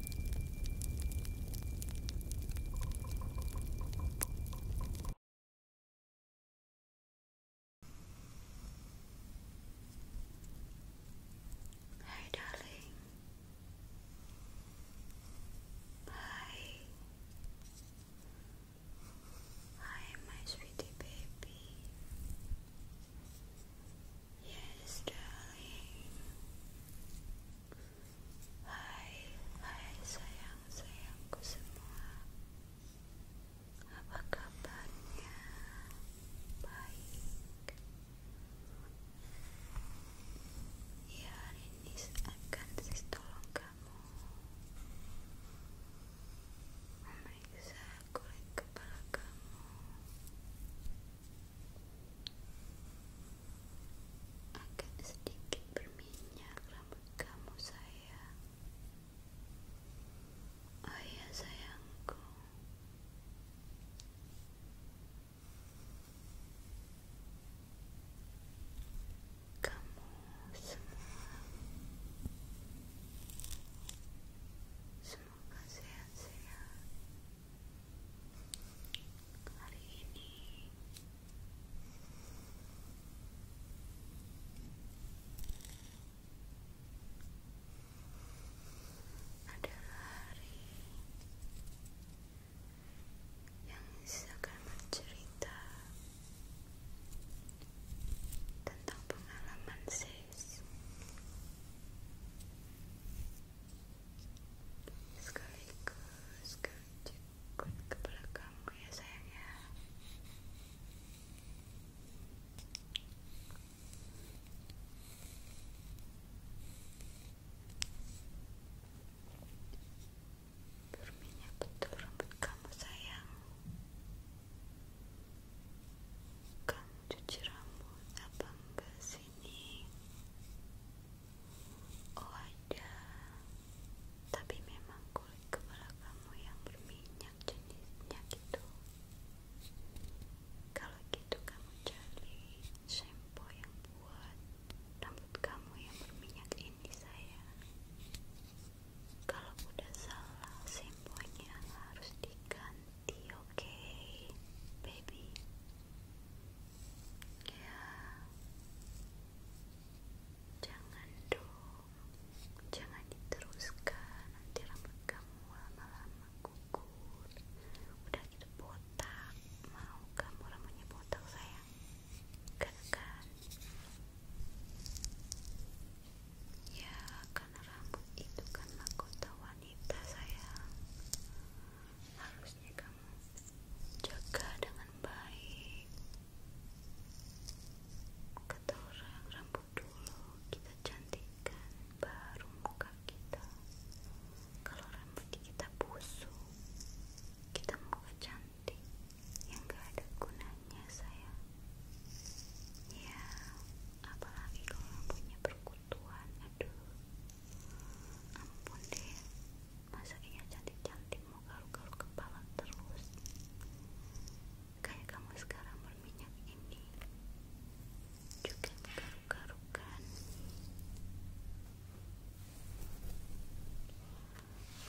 Hi, darling. Hi. Hi, my sweetie baby. Yes, darling. Hai, hai sayang sayangku semua. Apa kabarnya? Baik. Ya, hari ini akan sis tolong kamu memeriksa kulit kepala kamu akan sedikit berminyak rambut kamu sayang oh ya sayangku kamu semua semoga sehat-sehat Hari ini adalah hari yang akan bercerita tentang pengalaman sis sekaligus kejepit kepala kamu ya sayang ya berminyak betul rambut kamu sayang kamu cuci rambut apa enggak sini Oh ada Tapi memang kulit kepala kamu yang berminyak jenisnya gitu Kalau gitu kamu cari shampoo yang buat rambut kamu yang berminyak ini saya Kalau udah salah shampoo-nya harus diganti oke baby ya jangan dong jangan diteruskan nanti rambut kamu lama-lama gugur udah gitu botak mau kamu rambutnya botak saya gak kan ya karena rambut itu kan mahkota wanita saya harusnya kamu jaga dengan baik kata rambut dulu kita cantikan baru muka kita kalau rambut kita busuk kita muka cantik yang gak ada gunanya saya ya apalagi kalau rambutnya berkutu Tuhan aduh ampun deh masa iya cantik-cantik mau garuk-garuk kepala terus kayak kamu sekarang berminyak ini juga garuk-garuk kan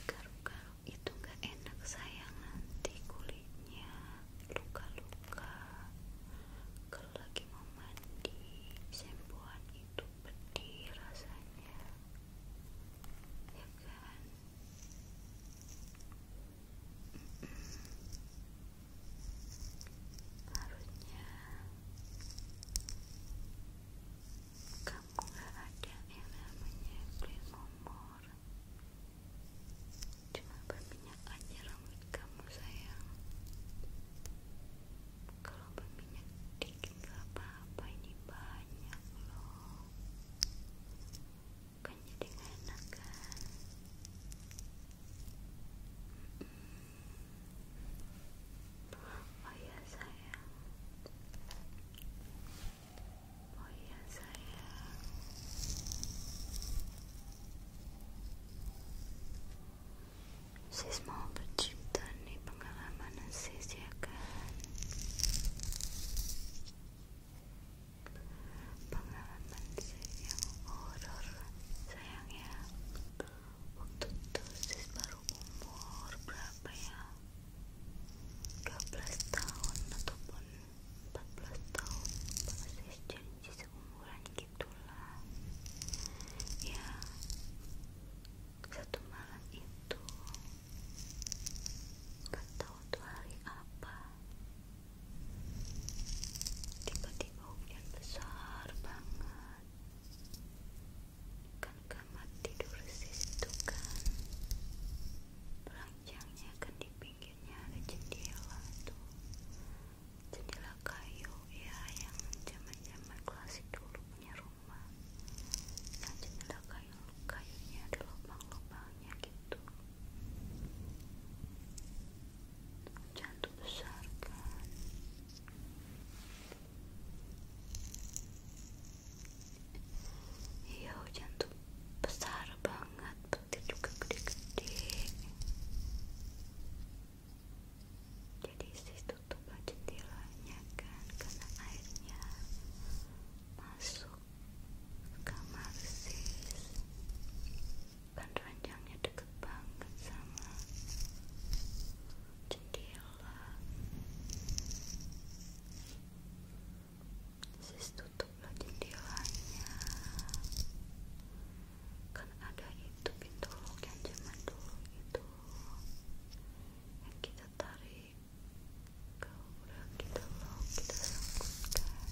garuk-garuk itu gak enak sayang nanti kulitnya luka-luka lagi mau mandi sempoan itu pedih rasanya ya kan harusnya kamu gak yang namanya glamor cuma berminyak aja kamu sayang kalau berminyak dikit apa ini banyak loh kan enak kan oh ya sayang oh ya sayang Sis mau bercerita nih pengalaman sis ya kan Pengalaman sis yang horror sayang ya Waktu itu sis baru umur berapa ya 13 tahun ataupun 14 tahun Sis janji seumuran gitu itulah ya satu malam itu gak tahu tuh hari apa tiba-tiba hujan besar banget kan kamar tidur situ kan ranjangnya kan di pinggirnya ada jendela tuh jendela kayu ya yang zaman-zaman klasik dulu punya rumah nah jendela kayu kayunya ada lubang-lubangnya gitu cantik besar kan iya hujan besar banget petir juga gede-gede jadi sis tutuplah jendelanya kan karena airnya masuk ke kamar sis kan ranjangnya deket banget sama jendela sis tutuplah jendelanya kan ada itu pintu lock yang zaman dulu itu yang kita tarik ke udah kita lock kita kan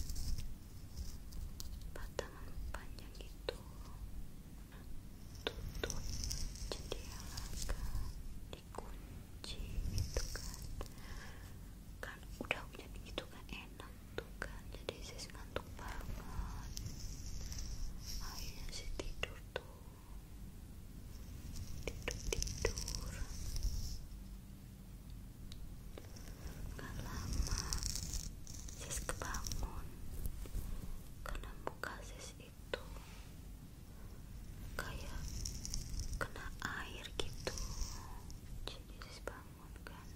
batangan panjang itu tutup jendela kan dikunci gitu kan kan udah punya begitu kan enak tuh kan jadi sis nggak ngantuk banget akhirnya sih tidur tuh tidur-tidur gak lama kebangun karena muka itu kayak kena air gitu jadi sis bangun kan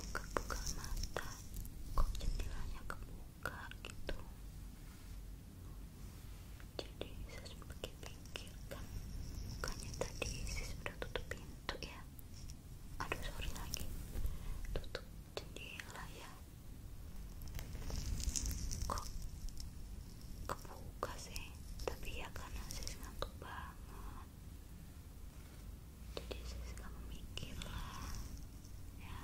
buka-buka mata kok jendelanya kebuka gitu jadi saya sempat pikir kan bukannya tadi saya sudah tutup pintu ya aduh sorry lagi tutup jendela ya kok kebuka sih tapi ya karena saya ngantuk banget jadi sis kamu mikir lah ya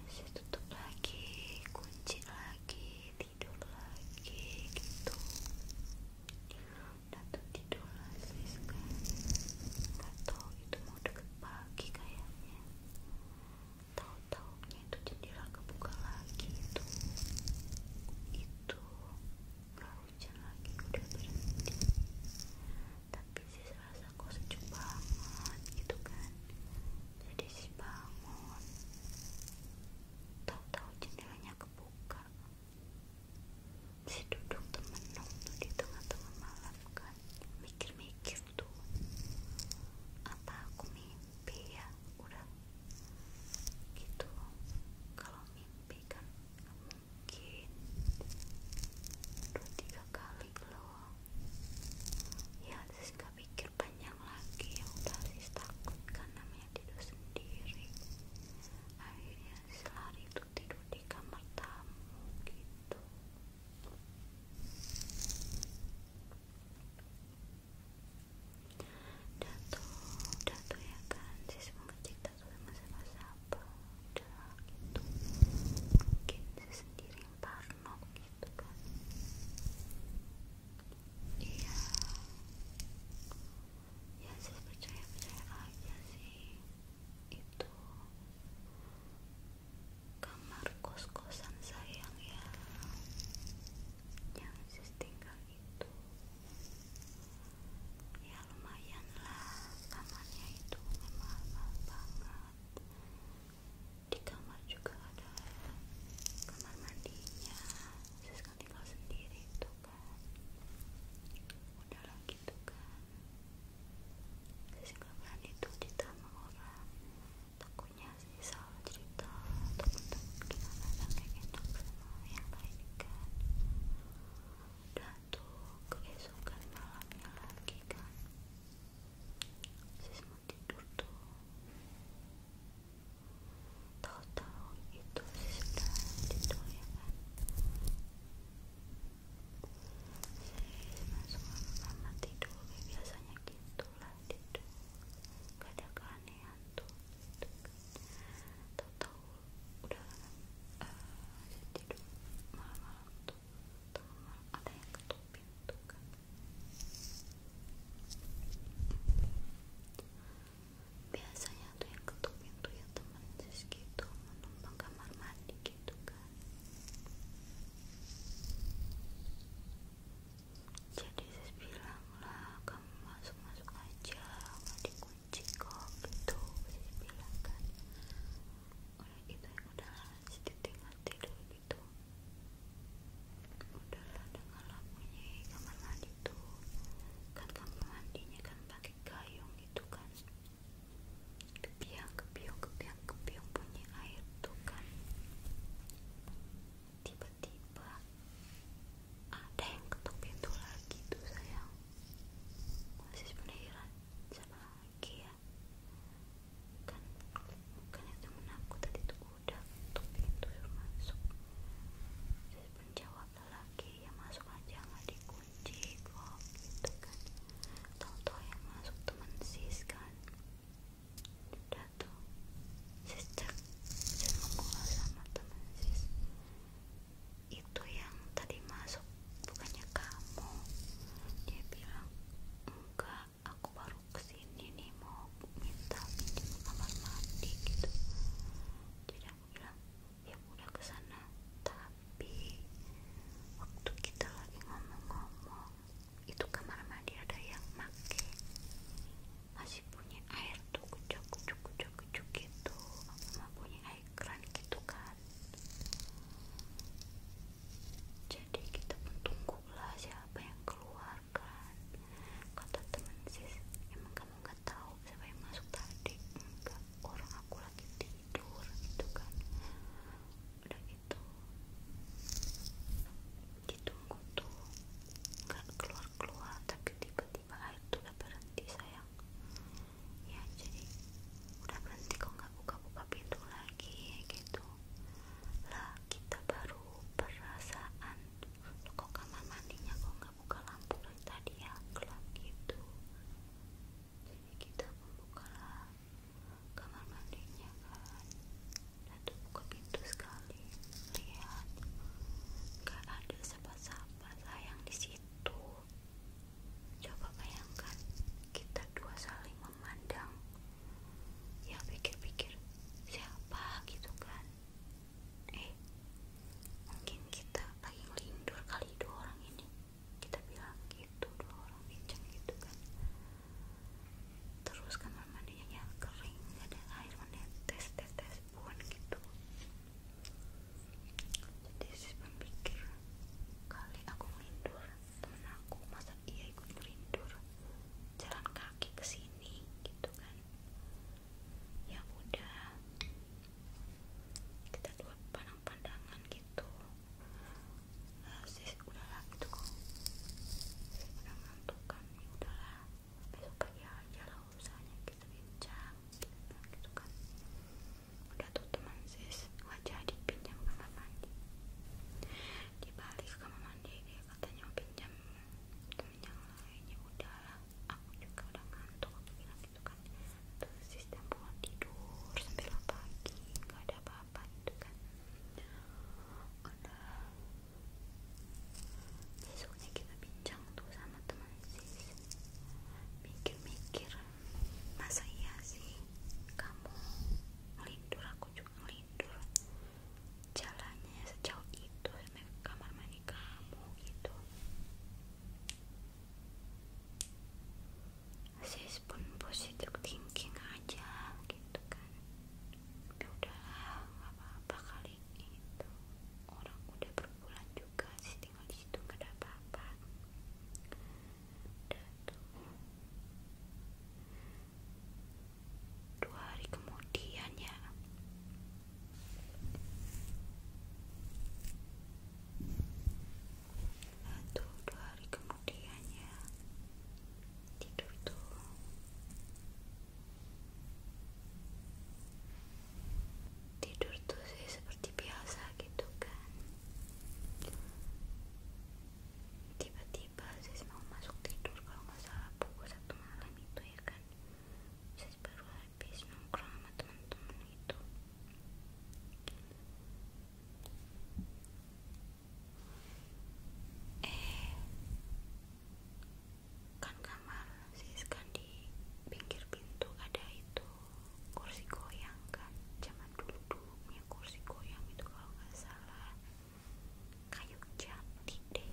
masih tutup lagi kunci lagi tidur lagi gitu udah tuh tidur lah sis kan itu mau deket pagi kayaknya tahu-taunya itu jendela kebuka lagi itu itu gak hujan lagi udah berhenti tapi sih serasa sejuk banget gitu kan jadi sih bangun tahu-tahu jendelanya kebuka si duduk temenung tuh di tengah-tengah malam kan mikir-mikir tuh apa aku mimpi ya udah gitu kalau mimpi kan mungkin dua tiga kali loh ya sis gak pikir panjang lagi yang udah sis takut kan namanya tidur sendiri akhirnya sis lari tuh tidur di kamar tamu gitu Datu, datu ya kan, sis mengecek sudah masa-masa apa udah mungkin saya sendiri yang parno gitu kan iya ya saya percaya-percaya aja sih itu kamar kos-kosan sayang ya yang sis tinggal itu ya ya lumayan lah kamarnya itu memang mahal banget di kamar juga ada kamar mandinya terus kan tinggal sendiri itu kan udah lagi tuh kan terus gak berani tuh ditambah orang takutnya sih salah cerita ataupun gimana sampai enak sama yang lain kan untuk keesokan malamnya lagi kan sis mau tidur tuh tahu-tahu itu sis udah tidur ya kan sis langsung lama tidur biasanya gitu lah tidur gak ada keanehan tuh gitu. Kan? tahu-tahu udah uh, jadi malam ada yang ketuk pintu kan biasanya ada yang ketuk pintu ya teman sis gitu menumpang kamar mandi gitu kan jadi sis bilang lah kamu masuk masuk aja nggak dikunci Ciko itu Wilis bilang kan orang itu yang udah sedikit tidur gitu udahlah dengan lampunya kamar mandi tuh kan kamar mandinya kan pakai gayung gitu kan kebiang kebiung kebiang kebiung punya air tuh kan tiba-tiba ada yang ketuk pintu lagi tuh sayang masih penasaran siapa lagi ya kan bukan yang temen aku tadi tuh udah tuh pintu ya, masuk terus penjawab lagi ya masuk aja nggak dikunci kok gitu kan tau-tau yang masuk temen sis kan udah tuh sister dan ngomong sama teman sis itu yang tadi masuk bukannya kamu dia bilang enggak aku baru kesini nih mau minta pinjam kamar mandi gitu jadi aku bilang ya udah kesana tapi waktu kita lagi ngomong-ngomong itu kamar mandi ada yang make masih punya air tuh kucuk kucuk kucuk kucuk gitu aku mah punya air keran gitu kan jadi kita pun tunggulah siapa yang keluarkan kata teman sis emang kamu gak tahu siapa yang masuk tadi enggak orang aku lagi tidur gitu kan udah gitu ditunggu tuh nggak keluar-keluar tapi tiba-tiba air udah berhenti sayang ya jadi udah berhenti kok nggak buka-buka pintu lagi gitu lah kita baru perasaan kok kamar mandinya kok nggak buka lampu dari tadi ya gelap gitu jadi kita membuka kamar mandinya kan dan buka pintu sekali lihat nggak ada siapa-siapa sayang di situ Coba bayangkan kita dua saling memandang. Ya pikir-pikir siapa gitu kan. Eh, mungkin kita lagi ngelindur kali dua orang ini. Kita bilang gitu dua orang bincang gitu kan. Terus kamar kan mandinya kering, gak ada air menetes, tes tes pun gitu jadi si pemikir kali aku melindur temen aku masa iya ikut melindur jalan kaki ke sini gitu kan ya udah kita dua pandang pandangan gitu nah, eh, sis udahlah gitu kok sis udah ngantuk kan ya udahlah besok pagi aja lah usahanya kita bincang gitu kan, gitu kan udah tuh teman sis wajah dipinjam kamar mandi dibalik ke kamar mandi dia katanya mau pinjam temen yang lainnya udahlah aku juga udah ngantuk aku bilang gitu kan terus sis buat tidur sambil lo pagi gak ada apa-apa gitu kan ada, besoknya kita pinjam tuh sama teman sis mikir-mikir masa iya sih kamu ngelindur aku juga ngelindur jalannya sejauh itu ke kamar mandi kamu gitu sis pun positif thinking aja gitu kan ya udahlah nggak apa-apa kali itu orang udah berbulan juga sih di situ nggak ada apa-apa dua hari kemudian ya nah, tuh dua hari kemudian ya tidur tuh tidur tuh sih seperti biasa gitu kan tiba-tiba sih mau masuk tidur kalau nggak salah pukul satu malam itu ya kan saya baru habis nungkrong sama teman-teman itu eh kan kamar sis kan di pinggir pintu ada itu kursi goyang kan zaman dulu dulu punya kursi goyang itu kalau nggak salah kayu jati deh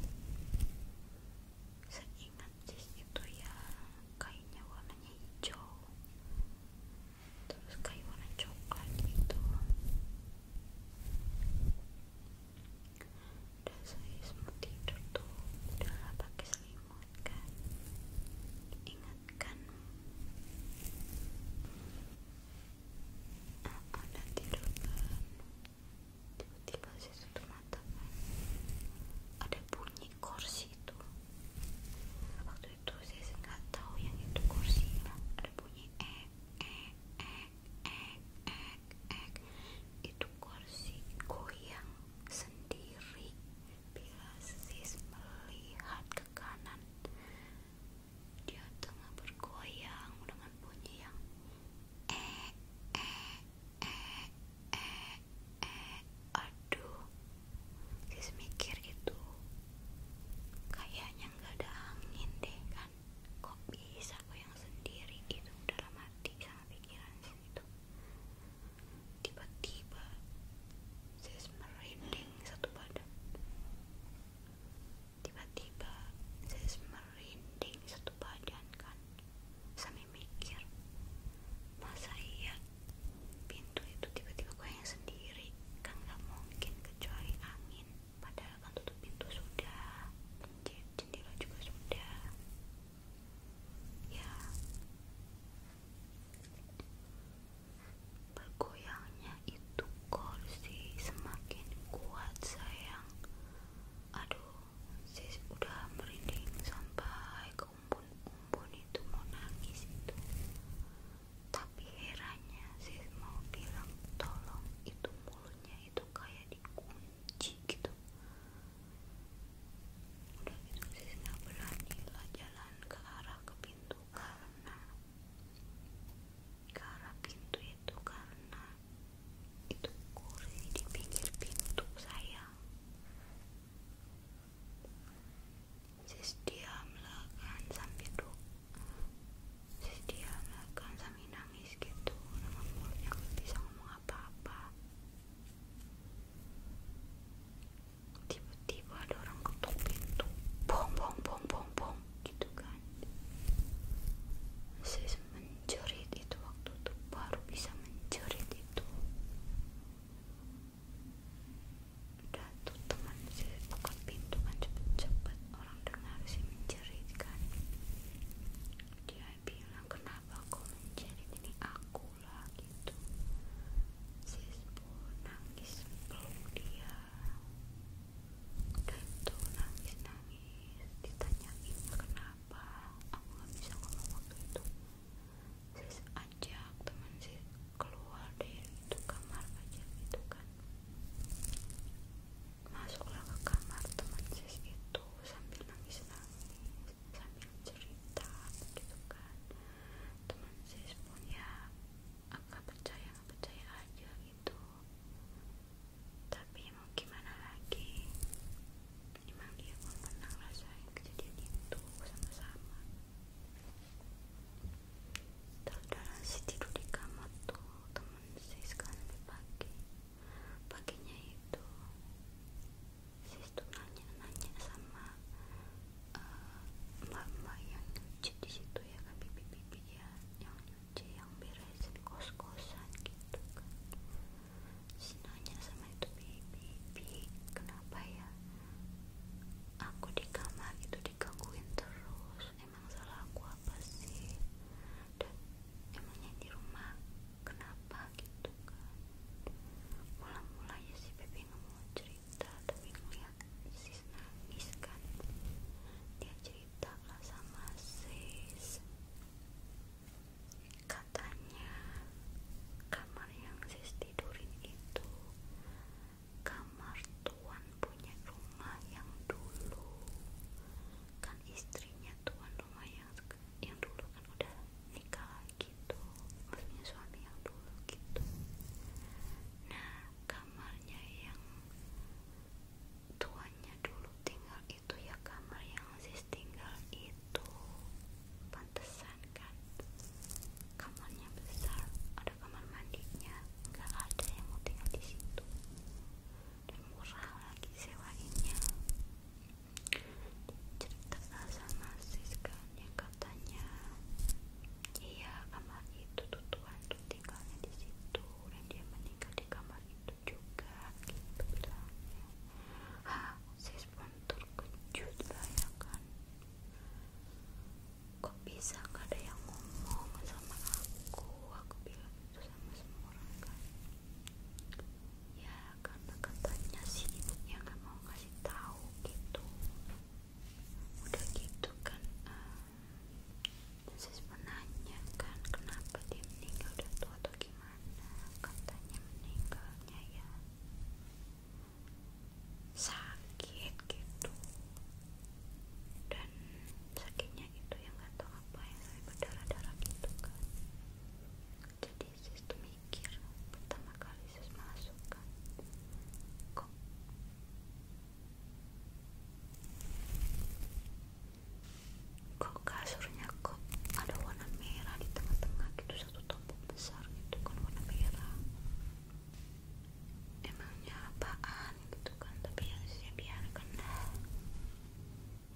seingat sih itu ya kayunya warnanya hijau terus kayu warna coklat gitu udah saya sempat tidur tuh udah pakai selimut akan ingatkanmu aku udah tidur tiba-tiba saya mata ada bunyi kursi itu waktu itu saya nggak tahu yang itu kursi ada bunyi ek ek ek ek ek ek itu kursi goyang sendiri Bila Sis melihat ke kanan, dia tengah bergoyang dengan bunyi yang eh eh eh eh eh. Aduh, Sis mikir itu kayaknya nggak ada angin deh kan? kopi bisa yang sendiri? gitu udah hati sama pikiran Sis itu tiba-tiba sis merinding satu badan tiba-tiba sis merinding satu badan kan sambil mikir masa iya pintu itu tiba-tiba yang sendiri kan gak mungkin kecuali angin padahal kan tutup pintu sudah jendela juga sudah ya Bergoyangnya itu kursi semakin kuat sayang. Aduh, sis udah merinding sampai ke umpun itu mau nangis itu. Tapi herannya sis mau bilang tolong itu mulutnya itu kayak dikunci gitu udah gitu Sisina lah jalan ke arah ke pintu karena ke arah pintu itu karena itu kursi di pinggir pintu saya Sis diamlah kan sambil duduk Sis diamlah kan sambil nangis gitu dengan mulutnya gak bisa ngomong apa-apa tiba-tiba ada orang ketuk pintu bong bong bong bong bong gitu kan saya semenjerit itu waktu itu baru bisa menjerit itu udah tuh teman saya ketuk pintu kan cepet-cepet orang dengar saya menjerit kan dia bilang kenapa kau menjerit ini aku lagi gitu sis pun nangis sebelum dia dan tuh nangis nangis ditanyain kenapa aku gak bisa ngomong waktu itu sis ajak teman sis keluar dari itu kamar aja gitu kan masuklah ke kamar teman sis itu sambil nangis nangis sambil cerita gitu kan teman sis pun ya agak percaya nggak percaya aja gitu tapi mau gimana lagi emang dia pun pernah ngerasain kejadian itu sama-sama terus si tidur di kamar tuh teman sis sekarang sampai pagi paginya itu sis tuh nanya-nanya sama eh, mbak-mbak yang di situ ya kan bibi-bibi yang nyuci yang beresin kos-kosan gitu kan sis nanya sama itu bibi bibi kenapa ya aku di kamar itu digangguin terus emang salah aku apa sih dan emangnya di rumah kenapa gitu kan mula-mulanya si bibi Vino mau cerita tapi ngeliat sis nangis kan dia cerita lah sama sis katanya kamar yang sis tidurin itu kamar tuan punya rumah yang dulu kan istrinya tuan rumah yang yang dulu kan udah nikah gitu maksudnya suami yang dulu gitu nah kamarnya yang tuanya dulu tinggal itu ya kamar yang sis tinggal itu pantesan kan kamarnya besar ada kamar mandinya nggak ada yang mau tinggal di situ dan murah lagi sewanya cerita sama sis kan yang katanya iya kamar itu tuh tuh tinggalnya di situ dan dia meninggal di kamar itu juga gitu bilangnya hah sis pun terkejut lah kan kok bisa gak ada yang ngomong sama aku aku bilang itu sama semua orang kan ya karena katanya si ibunya gak mau ngasih tahu gitu udah gitu kan uh, eh, saya sebenarnya kan kenapa dia meninggal udah tua atau gimana katanya meninggalnya ya sakit gitu dan sakitnya itu yang nggak tahu apa yang sampai berdarah darah gitu kan jadi Yesus tuh mikir pertama kali Yesus masuk kan kok kok kasurnya kok ada warna merah di tengah-tengah gitu satu tombol besar gitu kan warna merah emangnya apaan gitu kan tapi yang saya ya biarkan lah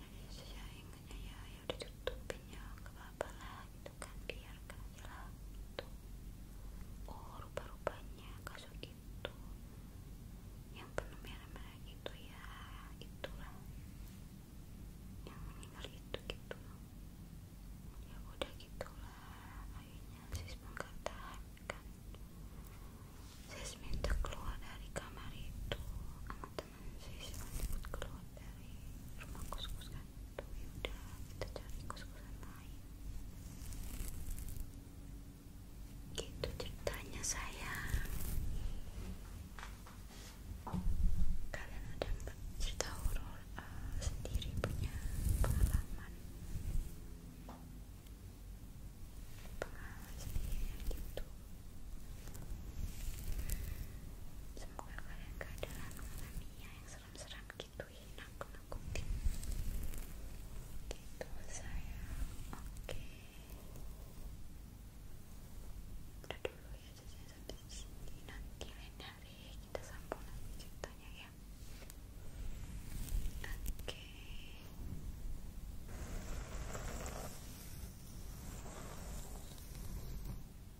yang saya ingatnya ya ya, ya ya udah tutupin ya gak apa-apa lah itu kan biarkan gak hilang tuh oh rupa-rupanya kasus itu yang penuh merah-merah itu ya itulah yang meninggal itu gitu ya udah gitulah akhirnya sis pun gak kan. sis minta keluar dari kamar itu sama temen sis yang ikut keluar dari rumah kos-kos kan tuh yaudah kita cari kos-kosan gitu ceritanya saya kalian ada cerita horor uh, sendiri punya pengalaman pengalaman sendiri gitu semoga kalian gak ada mengalaminya yang serem-serem gitu ya nakut-nakutin gitu oke okay. udah ya jadinya sampai sini nanti lain hari kita sambung lagi ceritanya ya Oke,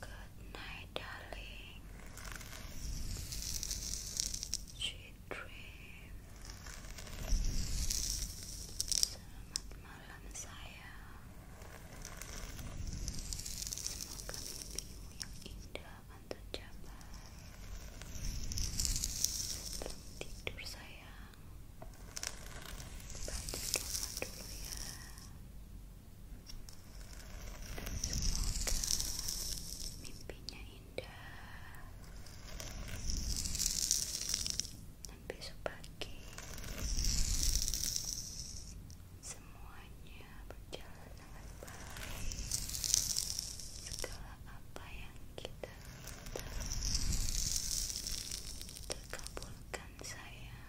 Good darling. dream. Selamat malam sayang. Semoga mimpimu yang indah akan tercapai. Sebelum tidur sayang, baca doa dulu ya. Semoga mimpinya indah dan besok semuanya berjalan dengan baik. Segala apa yang kita terkabulkan sayang.